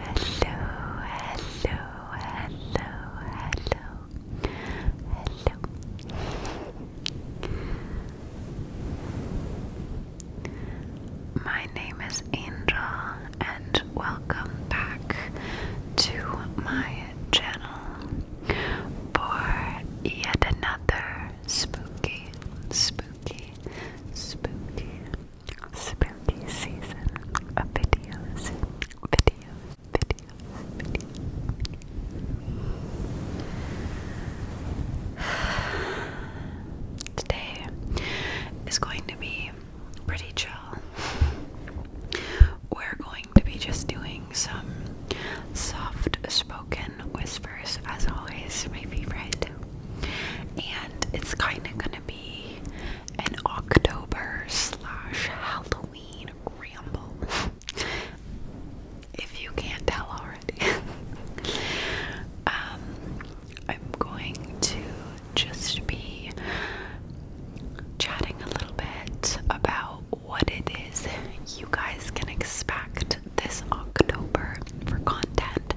hello, hello, hello. My my name is Angel, and welcome back to my channel for yet another spooky, spooky, spooky, spooky season of videos, videos, videos, videos. Today is going to be pretty chill. We're going to be just doing some soft spoken whispers, as always, my favorite. And it's kind of going to be an October slash Halloween ramble. If you can't tell already. um, I'm going to just be chatting a little bit about what it is you guys can expect this October for content.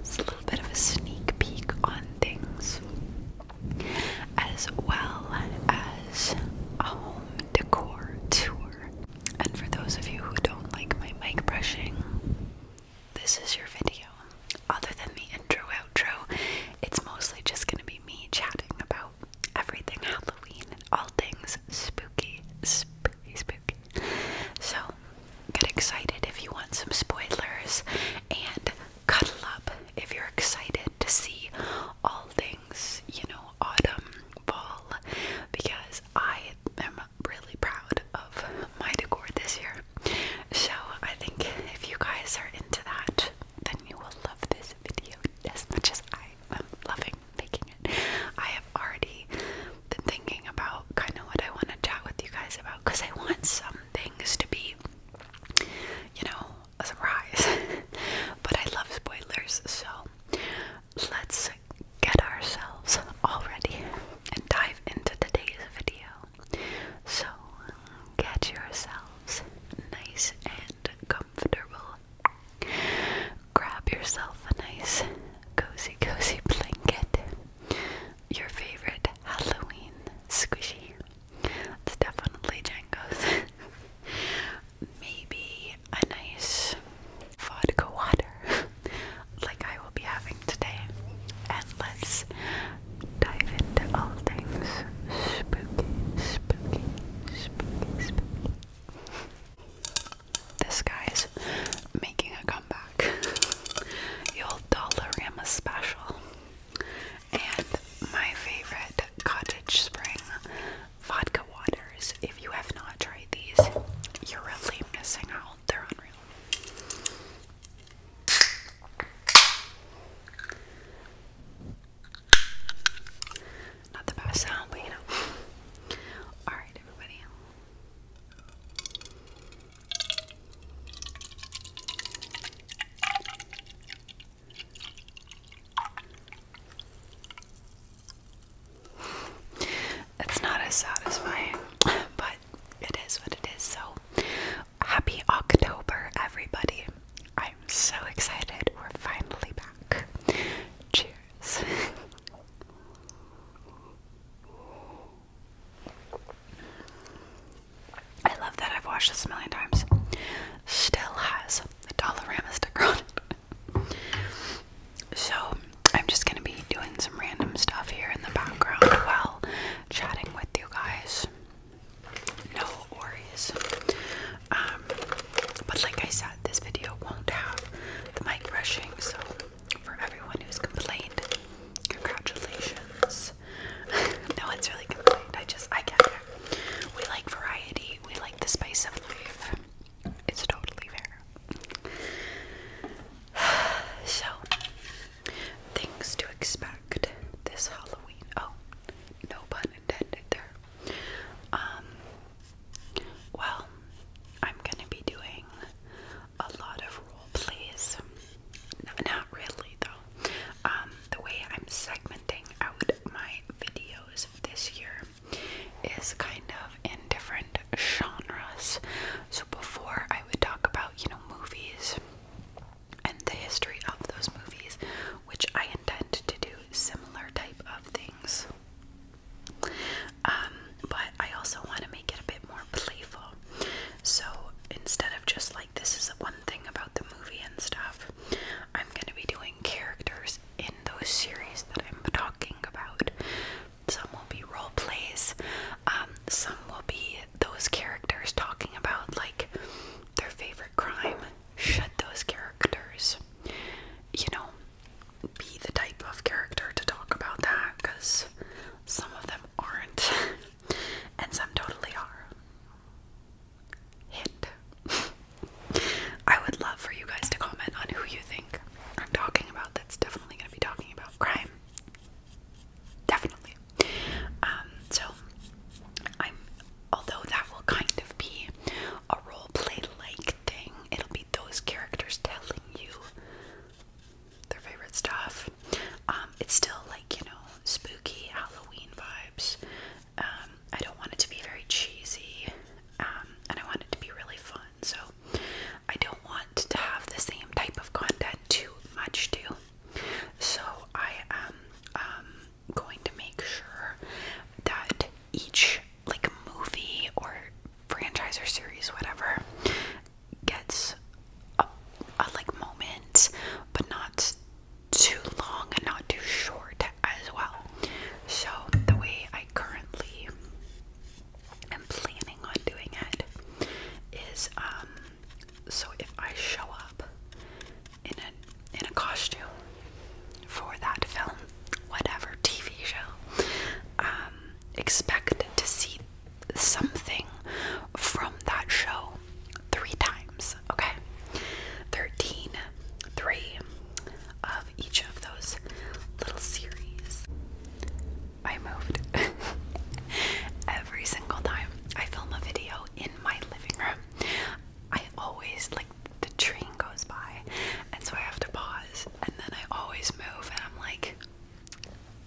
It's a little bit of a sneak peek on things, as well as a home decor tour. And for those of you who don't like my mic brushing, this is your video other than the intro outro, it's mostly just going to be me chatting about everything Halloween and all things spooky, spooky, spooky. So get excited if you want some spoilers and cuddle up if you're excited to see all things, you know, autumn, fall, because I am really proud of my decor this year. So I think if you guys are into that, then you will love this video as much as I am loving making it. I have already been thinking about kind of what I want to chat with you guys about because I want some things to be, you know, a surprise. but I love spoilers, so let's get ourselves all ready and dive into today's video. So get yourselves nice and comfortable. Grab yourself a nice cozy, cozy blanket. Your favorite Halloween squishy. It's definitely Django's. Maybe a nice vodka water like I will be having today. And let's dive into all things spooky, spooky, spooky, spooky. This guy's making a comeback. the old Dollarama special. And my favorite cottage spring vodka waters. If you have not tried these, you're really missing out. They're unreal. Not the best sound, but you know. Alright, everybody. It's not as satisfying, but it is what it is. So, Happy October, everybody. I'm so excited we're finally back. Cheers. I love that I've watched this a million times. Still has the Dollarama sticker on it. So, I'm just gonna be doing some random stuff here in the background while chatting with you guys no worries. Um, but like I said, this video won't have the mic brushing, so for everyone who's complained, congratulations. no one's really complained. I just I get it. We like variety. We like the spice of life. It's totally fair. so Things to expect this Halloween. Oh, no pun intended there. Um, well, I'm gonna be doing a lot of rule plays. No, not really, though. Um, the way I'm segmenting out my videos this year is kind of in different genres. So before I would talk about, you know, movies and the history of those movies, which I intend to do similar type of things. Um, but I also want to make it a bit more playful. So instead of just like this is one thing about the movie and stuff, I'm going to be doing characters in those series that I'm talking about. Some will be role plays, um, some will be those characters talking about like their favorite crime, shed those characters. You know, be the type of character to talk about that because some of them aren't, and some totally are. Hint. I would love for you guys to comment on who you think I'm talking about. That's definitely going to be talking about crime. Definitely. Um, so I'm although that will kind of be a role play like thing, it'll be those characters telling you their favorite stuff. Um, it's still like, you know, spooky Halloween vibes. Um, I don't want it to be very cheesy, and I want it to be really fun. So I don't want to have the same type of content too much too. So I am um, going to make sure that each like movie or franchise or series, whatever, gets a, a like moment, but not too long and not too short as well. So the way I currently am planning on doing it is um, so if I show up in a in a costume for that film, whatever TV show, um, expect to see something from that show three times. Okay, thirteen, three of each of those little series. I moved every single time I film a video in my living room, I always like the train goes by, and so I have to pause, and then I always move, and I'm like,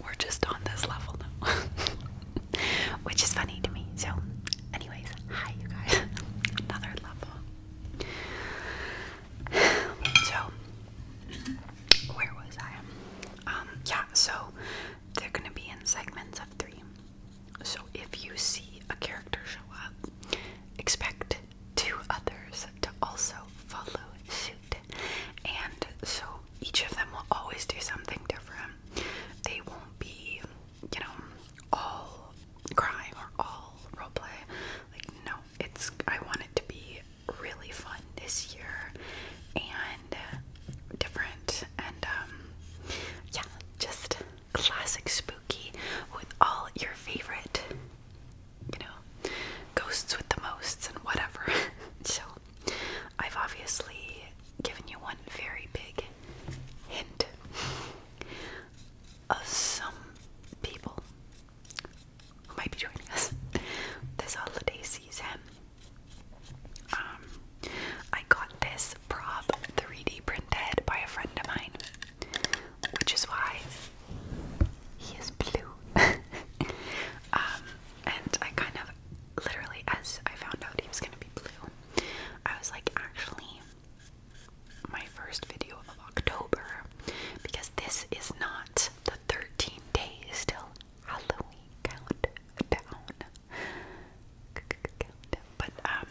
we're just on this level now, which is funny to me. So, anyways, hi you guys, another level. So, where was I? Um, yeah, so they're gonna be in segments of three. So if you see a character show up, expect two others to also follow suit. And so each of them will always do something different. They won't be, you know, all crying or all role play. Like no, it's I want it to be really fun this year. And uh, different and um, yeah, just classic spooky with all your favorite you know ghosts with the mosts and whatever. so I've obviously given you one very big hint of some people who might be joining us this holiday season. Um, I got this prop 3D printed by a friend of mine, which is why he is blue. Um, and I kind of literally, as I found out he was gonna be blue, I was like, actually, my first video of October, because this is not the 13 days till Halloween countdown. But um,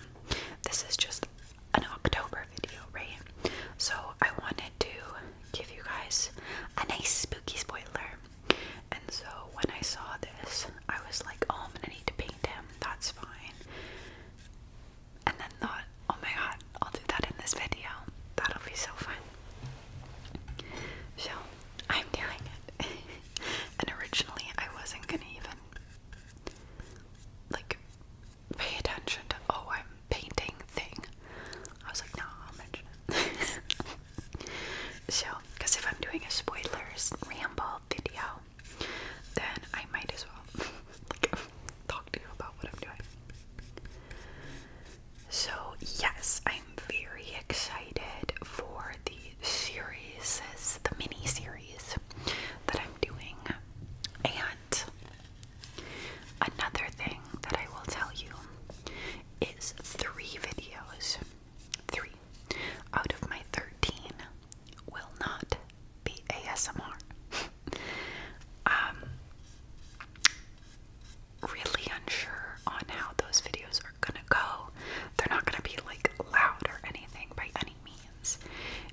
this is just an October video, right? So I wanted to give you guys a nice spooky spoiler. And so when I saw this, I was like, "Oh, I'm gonna need to paint him. That's fine." And then thought, "Oh my god, I'll do that in this video. That'll be so fun." So I'm doing it. And originally, I wasn't gonna even like pay attention to oh, I'm painting thing. I was like, no, I'll mention so, because if I'm doing a spoilers ramble video, then I might as well talk to you about what I'm doing. So, yes, I am i am very excited for the series, the mini series that I'm doing. And another thing that I will tell you is three videos, three out of my 13 will not be ASMR. um, really unsure on how those videos are gonna go. They're not gonna be like loud or anything by any means.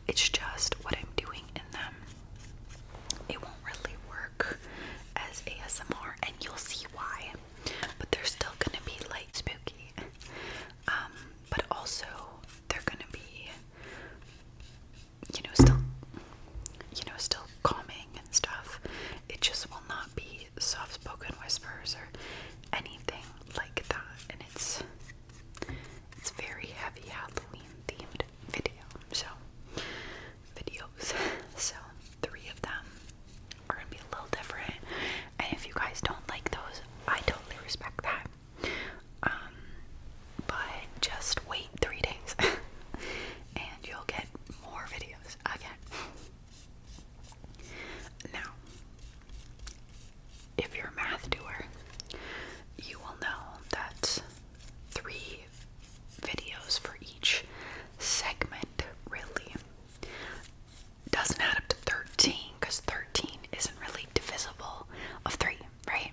It's just what I'm doing in them. It won't really work as ASMR, and you'll see why. But they're still gonna be like spooky. Um, but also they're gonna be, you know, still, you know, still calming and stuff. It just will not be soft spoken whispers or anything like that. And it's it's very heavy Halloween themed video. So videos. So three of them are gonna be a little different. And if you guys don't like those, I totally respect that. Um but just wait three days and you'll get more videos again. Now, if you're a math doer, you will know that three videos for each segment really doesn't add up to 13 because 13 isn't really divisible of 3, right?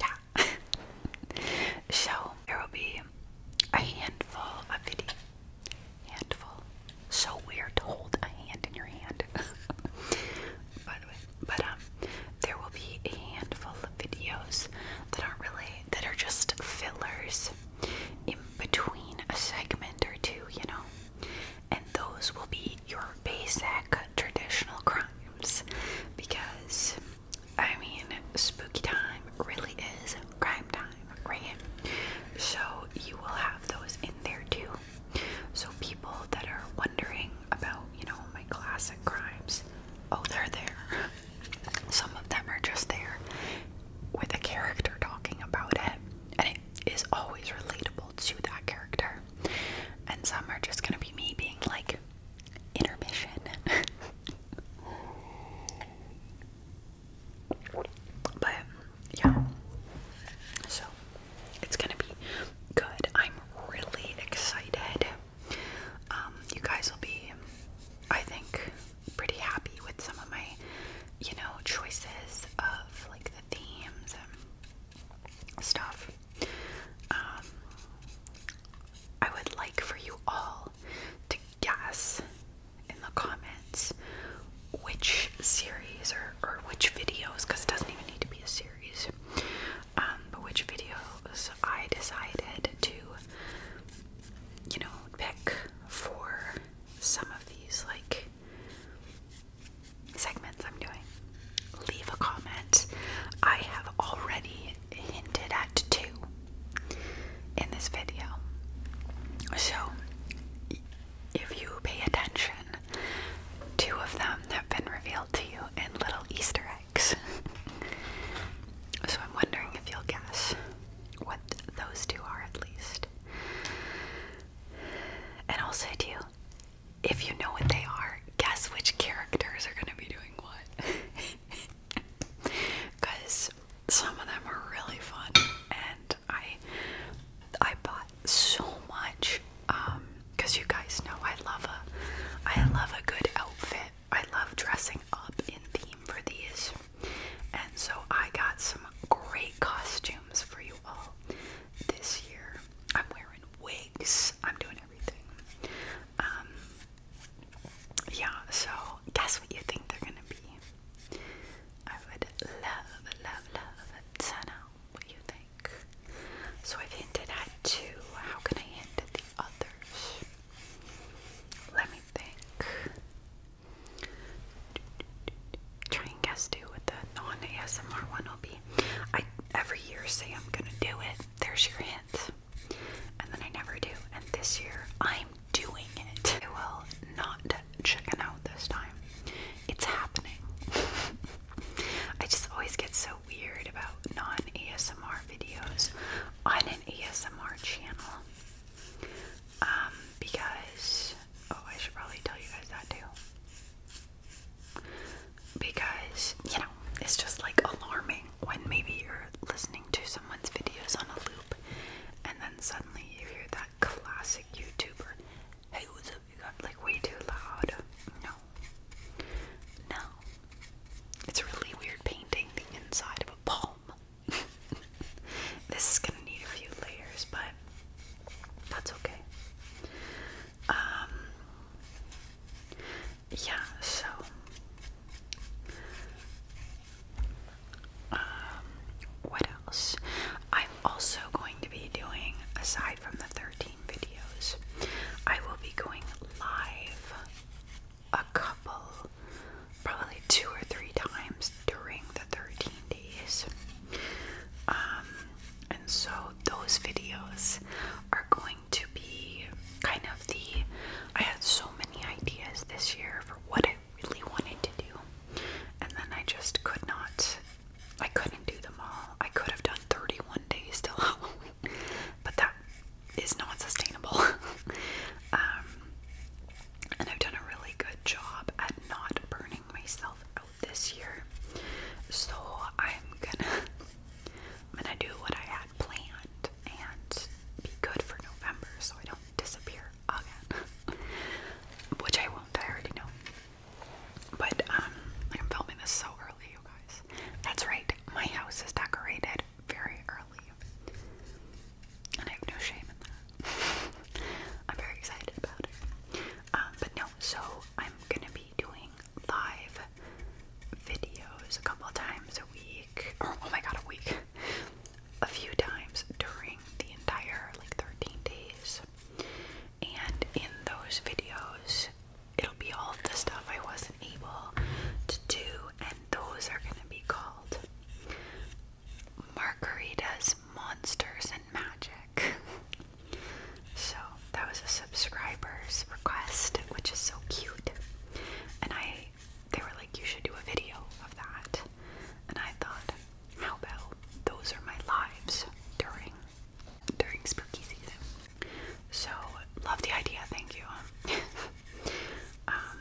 Yeah. so there will be a handful of videos handful. So weird to hold a hand in your hand. By the way, but um, there will be a handful of videos that aren't really that are just fillers in between a segment or two, you know. And those will be your basic traditional crimes because I mean, spooky time really is Crime Time, right? So you will have those in there too. So people that are wondering about, you know, my classic crimes, oh, they're there. Some of them are just there with a character talking about it, and it is always relatable to that character. And some are just gonna be me being like, intermission. But yeah, so it's gonna be good. I'm really excited. Um, you guys will be, I think, pretty happy with some of my, you know, choices of like the themes and stuff. Um, I would like for you all to guess in the comments which series or, or which videos, because it doesn't even need to be a series, um, but which videos I decided to, you know, pick for some of these like segments I'm doing. Leave a comment. I have already hinted at two in this video. So if you pay attention, two of them have been revealed to you in little Easter eggs. so I'm wondering if you'll guess what those two are at least. And I'll say to you, if you know what they are, guess which characters are going to be doing what. Because Some of them are really fun, and I I bought so much because um, you guys know I love a I love a good outfit. I love dressing up in theme for these, and so I got some great costumes for you all this year. I'm wearing wigs. I'm doing everything. Um, yeah, so guess what you think they're gonna be? I would love, love, love to know what you think. So I've hinted at two. How can I hint at the others? Let me think. Try and guess too what the non-ASMR one will be. I every year say I'm gonna do it. There's your hint. And then I never do. And this year I'm doing it. I will not chicken out this time. It's happening. I just always get so weird about non ASMR videos on an ASMR channel. Um, because, oh, I should probably tell you guys that too. Because, you know, it's just like alarming when maybe you're listening to someone's videos on a loop and then suddenly you hear that classic YouTuber. Hey, what's up? You got like way too loud. No. No. It's a really weird painting the inside of a palm. this is gonna need a few layers, but that's okay. Um yeah, so um, what else? I'm also going to be doing, aside from the 13 videos, I will be going live a couple, probably two or three times during the 13 days. Um, and so those videos are going to be kind of the. I had so many ideas this year for what I really wanted to do. And then I just could not, I couldn't do them all. I could have done 31 days till Halloween, but that is not sustainable. Um, and I've done a really good job at not burning myself out this year. So I'm gonna I'm gonna do what I had planned and be good for November so I don't disappear again. Which I won't, I already know. But um I'm filming this so early, you guys. That's right, my house is decorated very early. And I have no shame in that. I'm very excited about it. Um, but no, so I'm gonna be doing live videos a couple times a week. Or oh my god, a week a few times during the entire like 13 days. And in those videos, it'll be all of the stuff I wasn't able to do, and those are gonna be called Margaritas, Monsters, and Magic. so that was a subscriber's request, which is so cute. And I, they were like, you should do a video of that. And I thought, how about those are my lives during during spooky season? So love the idea, thank you. Um,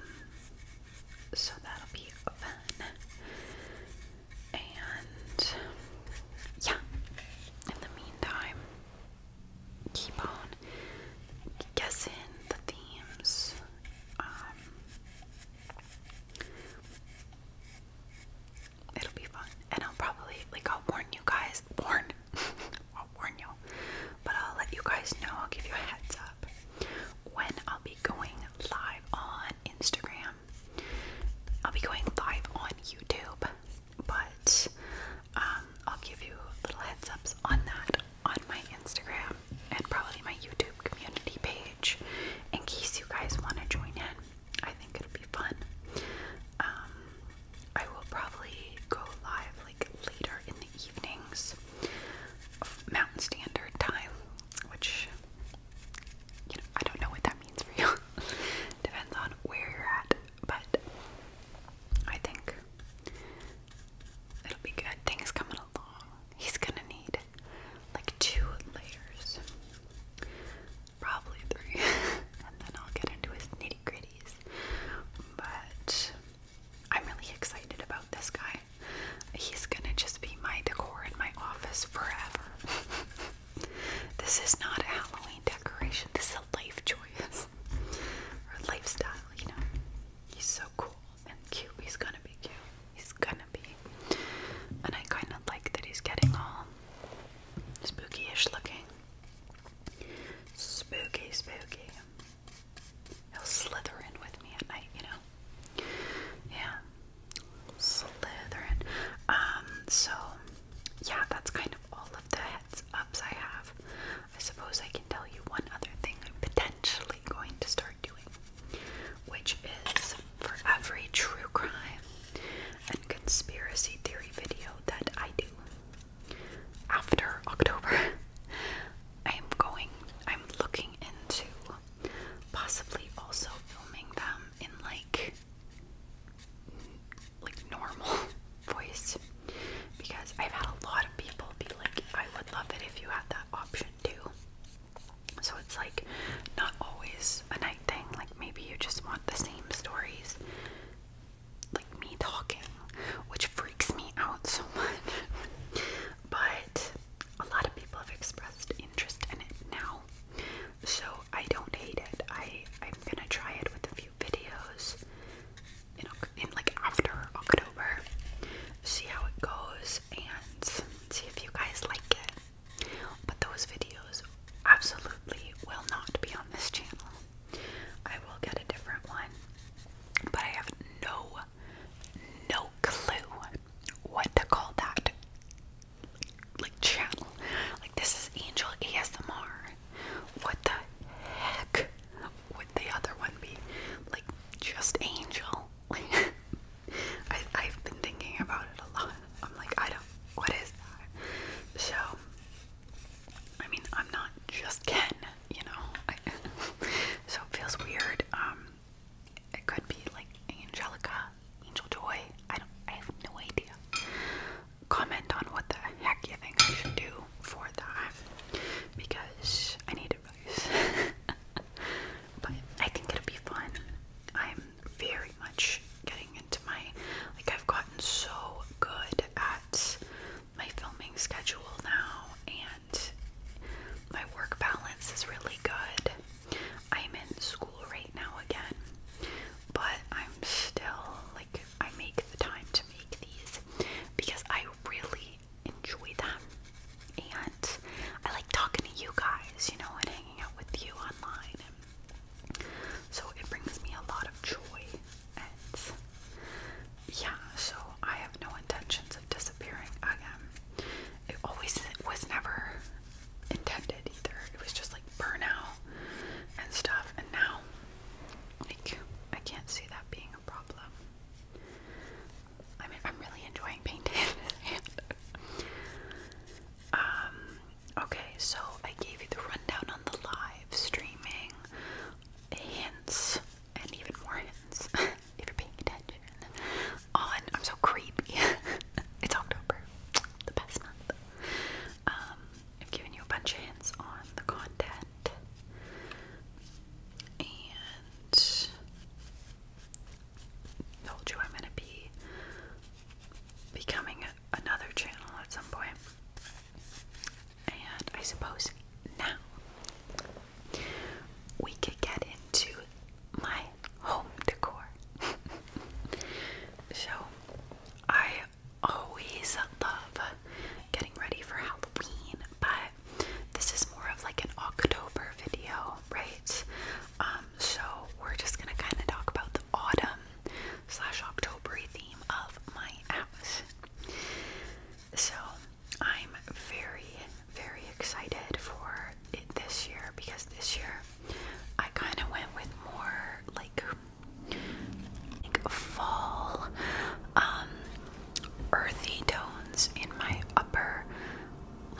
so that'll be fun. And yeah, in the meantime, keep on guessing the themes. Um, It'll be fun. And I'll probably, like, I'll warn you guys. Warn? I'll warn you. But I'll let you guys know. I'll give you a heads up when I'll be going live on Instagram. I'll be going live on YouTube. But um, I'll give you little heads ups on that on my Instagram and probably my YouTube community page in case you guys want to join in. I think it'll be fun. Um, I will probably go live like later in the evenings, Mountain Standard Time, which you know I don't know what that means for you. Depends on where you're at, but I think it'll be good. Things coming He's gonna need like two layers, probably three, and then I'll get into his nitty gritties. But I'm really excited about this guy. He's gonna just be my decor in my office forever. this is not a Halloween decoration, this is a life choice or lifestyle, you know. He's so cool and cute. He's gonna be cute. He's gonna and I kind of like that he's getting all spooky-ish looking. Spooky, spooky. He'll slither in with me at night, you know. Yeah. Slytherin. Um, so yeah, that's kind of all of the heads ups I have. I suppose I can tell you one other thing I'm potentially going to start which is for every true crime and conspiracy theory video that I do after October, I'm going, I'm looking into possibly also filming them in like like normal voice because I've had a lot of people be like I would love it if you had that option too so it's like not always a night thing. Like maybe you just want the same stories, like me talking, which freaks me out so much. but a lot of people have expressed interest in it now. So I don't hate it. I I'm gonna try it with a few videos in in like after October. See how it goes and see if you guys like it. But those videos absolutely will not be on this channel. I will get a different one. But I have no, no clue what to call that like channel. Like this is Angel ASMR. What the heck would the other one be? Like just Angel. I, I've been thinking about it a lot. I'm like, I don't, what is that? So, I mean, I'm not just Ken, you know? so it feels weird. Um, it could be like Angelica, Angel Joy. I don't, I have no idea. Comment on what the heck you think I should do for that because I need a advice but I think it'll be fun. I'm very much getting into my like I've gotten so good at my filming schedule now and my work balance is really good. I'm in school right now again, but I'm still like I make the time to make these because I really enjoy them and I like talking to you guys, you know, and hanging out with you online. so it brings me a lot of joy, and yeah, so I have no intentions of disappearing again. It always was never intended either. It was just like burnout and stuff, and now like I can't see that being a problem. I am really enjoying painting um, okay, so I gave you the rundown on the live streaming, hints, and even more hints if you're paying attention. On, I'm so creepy. it's October, the best month. Um, I've given you a bunch of hints on the content. And told you I'm gonna be becoming another channel at some And I suppose now we could get into my home decor. so I always love getting ready for Halloween, but this is more of like an October video, right? Um, so we're just gonna kind of talk about the autumn slash October theme of my house. So I'm very, very excited for it this year because this year I kind of went with more like, like fall, um, earthy tones in my upper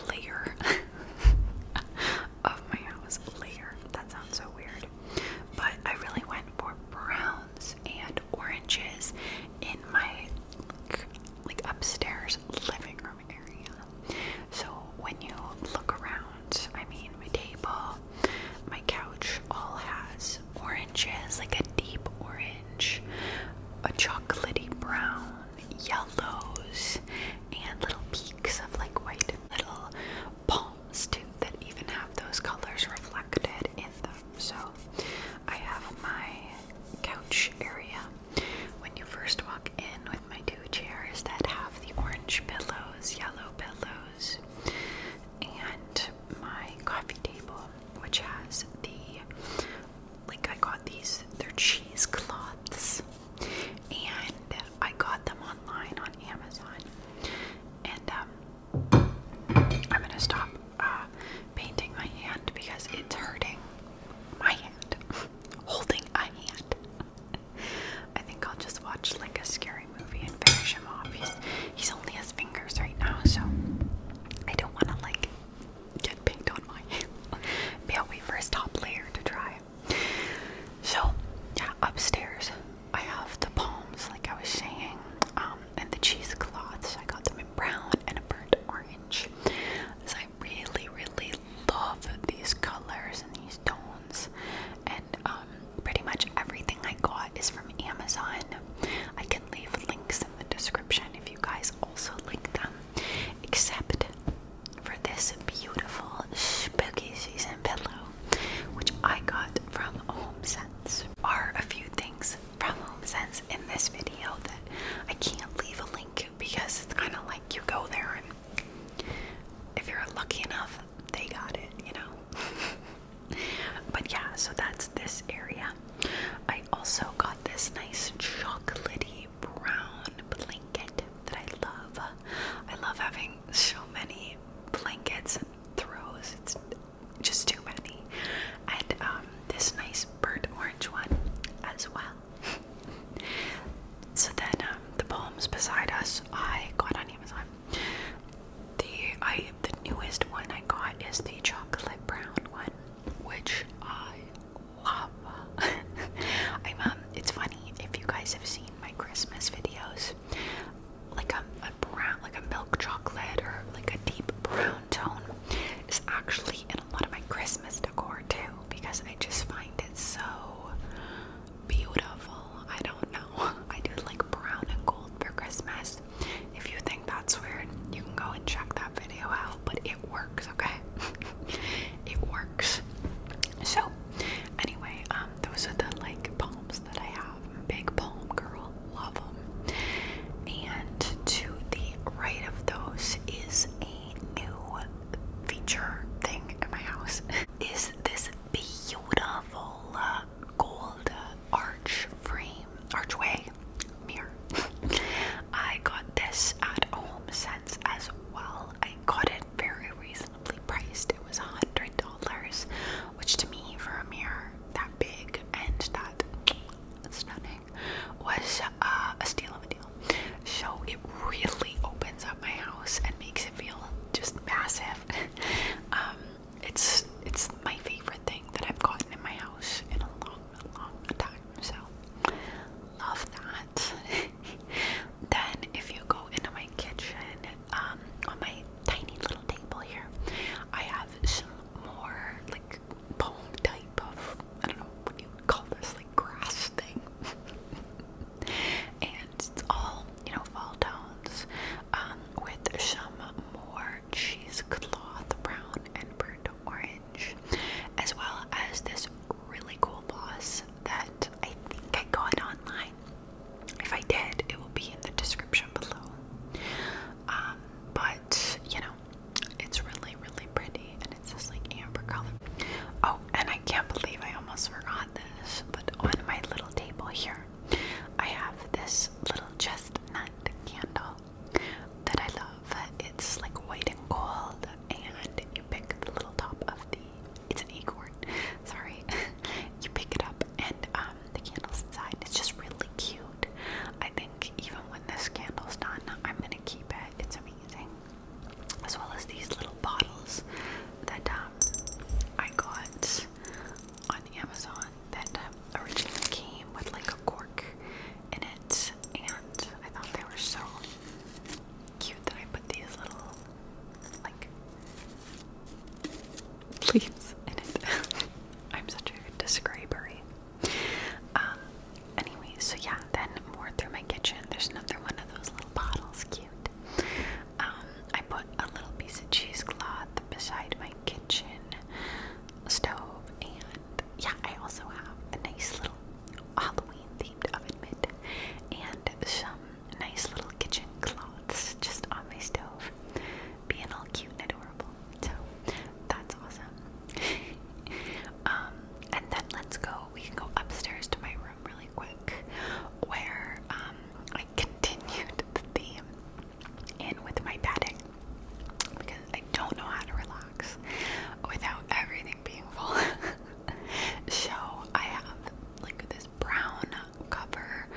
layer of my house. Layer. That sounds so weird. But I really went for browns and oranges in my like upstairs living room area. So when you look around, I mean my table, my couch all has oranges, like a deep orange, a chocolaty brown, yellows and little peaks of like white little palms too that even have those colors reflected in them. So I have my couch area when you first walk in with my two chairs that have the orange pillows, yellow pillows, and my coffee table, which has the like I got these, they're cheesecloths, and I got them online on Amazon. And um, I'm gonna stop uh, painting my hand because it's hurting my hand. Holding a hand. I think I'll just watch like a scary movie and finish him off. He's only his fingers right now, so I don't want to like get pinked on my hand. But I'll wait for his top layer to dry. So, yeah, upstairs I have the palms, like I was saying, um, and the cheesecloths. I got them in brown and a burnt orange. So I really, really love these colors and these tones. And um, pretty much everything I got is from Amazon. I can leave links in the description if you guys also like them. Except for this beautiful spooky season pillow, which I got from HomeSense. Are a few things from HomeSense in this video that I can't leave a link because it's kind of like you go there and if you're lucky enough, they got it, you know. but yeah, so that's this area. I also got this nice chocolaty brown blanket that I love. I love having so many blankets and throws. It's just too many. And um, this nice burnt orange one as well. so then um, the poems beside us I got on Amazon. The I the newest one I got is the chocolate brown one, which I I'm um, it's funny if you guys have seen my Christmas videos, like a, brown like a milk chocolate or like a deep brown tone is actually in a lot of my Christmas decor too because I just find it so beautiful. I don't know. I do like brown and gold for Christmas. If you think that's weird, you can go and check that video out. But it works, okay? it works. So, anyway, um, those are the like palms that I have. big palm girl, love them. And to the right of those is a new feature thing in my house. is this beautiful gold arch frame, archway mirror? I got this at HomeSense as well. I got it very reasonably priced. It was $100, which to me, for a mirror that big and that stunning, was uh, a steal of a deal. So it really opens up my house and makes it feel just massive. Um, it's it's my favorite thing that I've gotten in my house in a long, long time. So love that. Then, if you go into my kitchen, um, on my tiny little table here, I have some more like poem type of I don't know what do you call this like grass thing, and it's all you know fall tones, um, with some more cheesecloth brown and burnt orange, as well as this really cool boss that I think I got online. If I did, it will be in the description below. Um, but you know, it's really, really pretty and it's this like amber color. Oh, and I can't believe I almost forgot this, but on my little table here, I have this little chestnut candle that I love. It's like white and gold, and you pick the little top of the. It's an e acorn. Sorry. you pick it up, and um, the candle's inside. It's just really cute. I think even when this candle's done, I'm gonna keep it. It's amazing. As well as these little bottles that um, I got on Amazon that um, originally came with like a cork in it, and I thought they were so cute that I put these little like leaves I'm such a describery. Um anyway, so yeah, then more through my kitchen. There's another one of those little bottles, cute. Um, I put a little piece of cheesecloth beside my kitchen stove and yeah, I also have a nice little Halloween themed oven mitt and some nice little kitchen cloths just on my stove, being all cute and adorable. So that's awesome. Um, and then let's go. We can go upstairs to my room really quick, where um, I continued the theme in with my padding because I don't know how to relax without everything being full. so I have like this brown cover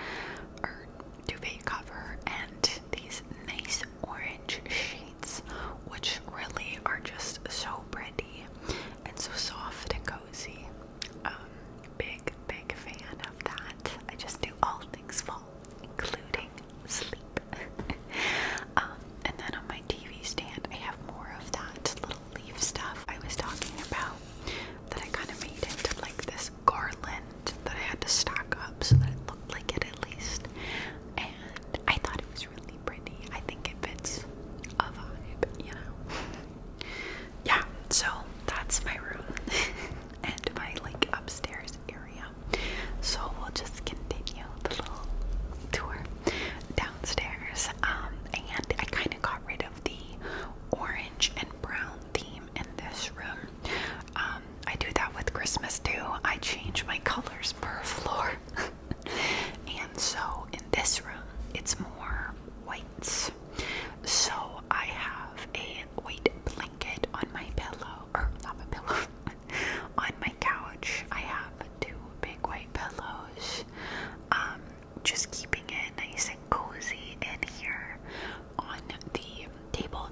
or duvet cover and these nice orange sheets, which really are just so pretty and so soft and cozy. Um, big, big fan of that. I just do all things fall, including sleep. Um, and then on my TV stand. I have more of that little leaf stuff I was talking about that I kind of made into like this garland that I had to stock up so that it looked like it at least. And I thought it was really pretty. I think it fits a vibe, you know. Yeah, so that's my room and my like upstairs area. So we'll just continue the little tour downstairs. Um, and I kind of got rid of the orange and brown theme in this room. Um, I do that with Christmas too. I change my colors per floor. and so in this room, it's more whites. So I have a white blanket on my pillow, or not a pillow, on my couch. I have two big white pillows. Um, just keeping it nice and cozy in here on the table.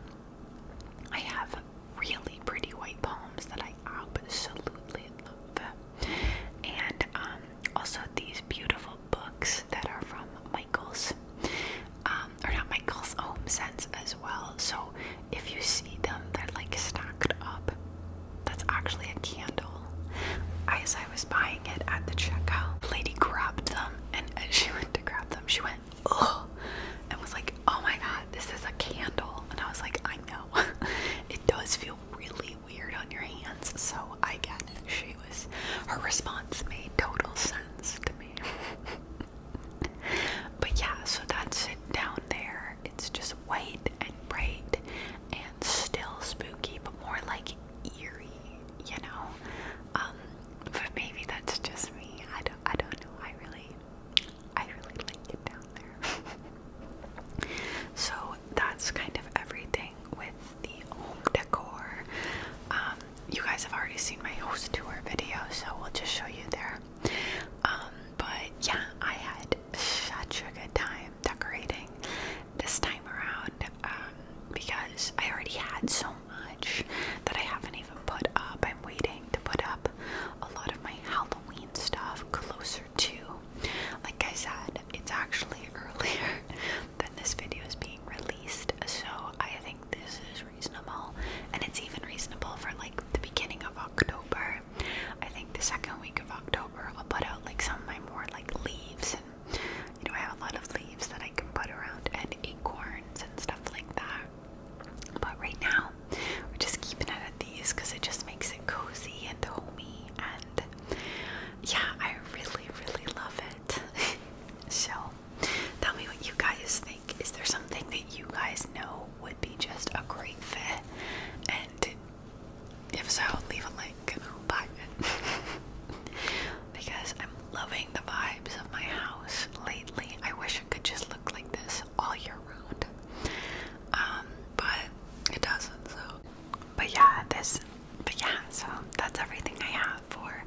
I have really pretty white palms that I absolutely love. And um, also these beautiful books that are from Michael's, um, or not Michael's, Home Sense as well. So if you see them, they're like stacked up that's actually a candle. As I was buying it at the checkout, the lady grabbed them, and as she went to grab them, she went, oh, and was like, oh my god, this is a candle. And I was like, I know. it does feel really weird on your hands, so I get it. She was, her response made total sense to me. but yeah, so that's it down there. It's just white and bright and still spooky, but more like eerie, you know. Um, but maybe that's just me. I don't. I don't know. I really, I really like it down there. so that's kind of everything with the home decor. Um, you guys have already seen my host tour video, so we'll just show you there. Um, but yeah, I had such a good time decorating this time around um, because I already had so much that I haven't even put up. I'm waiting to put up a lot of my Halloween stuff closer to, like I said, it's actually earlier than this video is being released. So I think this is reasonable, and it's even reasonable for like the beginning of October. I think the second week of October I'll put out like some of my more like leaves and you know I have a lot of leaves that I can put around and acorns and stuff like that. But right now we're just keeping it at these because it just makes it cozy and homey and yeah, I really, really love it. so tell me what you guys think. Is there something that you guys know would be just a great fit and if so, leave a like and because I'm loving the vibes of my house lately. I wish it could just look like this all year round. Um, but it doesn't, so but yeah, this yeah, so that's everything I have for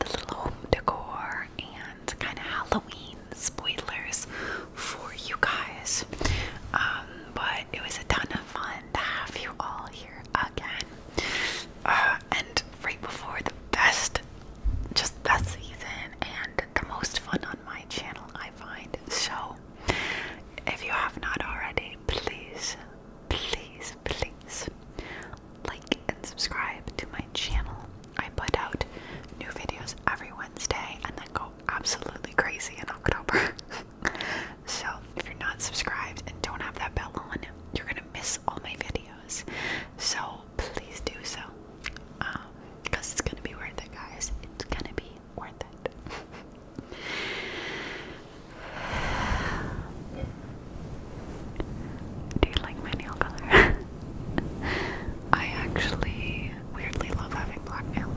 the little home decor and kind of Halloween spoilers for you guys. Um, but it was a ton of fun to have you all here again. Uh, and right before the best, just best season and the most fun on my channel, I find. So, if you have not already, please, please, please like and subscribe to my channel. I put out new videos every Wednesday and then go absolutely crazy in October. So, if you're not subscribed and don't have that bell on, you're gonna miss all my videos. So, please do so. because um, it's gonna be worth it, guys. It's gonna be worth it. do you like my nail color? I actually weirdly love having black nails.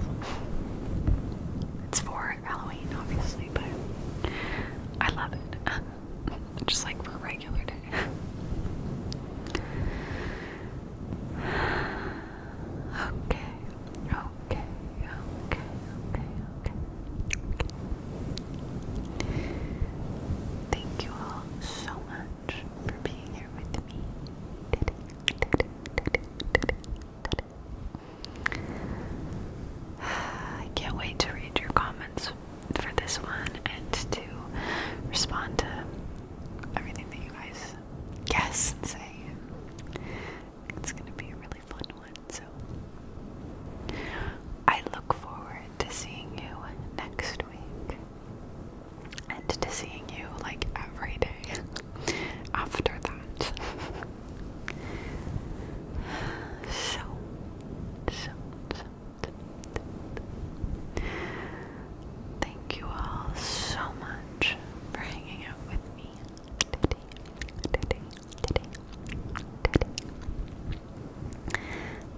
It's for Halloween, obviously, but I love it. Just like for a regular day. Okay, okay, okay, okay, okay. Thank you all so much for being here with me. I can't wait to read your comments for this one and to respond to everything that you guys guess and say. It's going to be a really fun one, so I look forward to seeing you next week and to seeing you like every day after that. so, so, so, thank you all so much for hanging out with me today, today, today, today.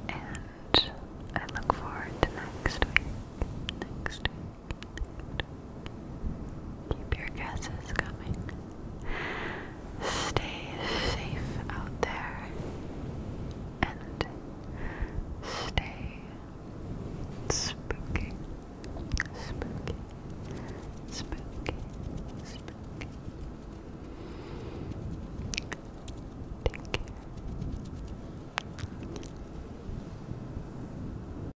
And I look forward to next week, next week. Keep your guesses coming. Stay safe out there and stay spooky, spooky, spooky, spooky. Take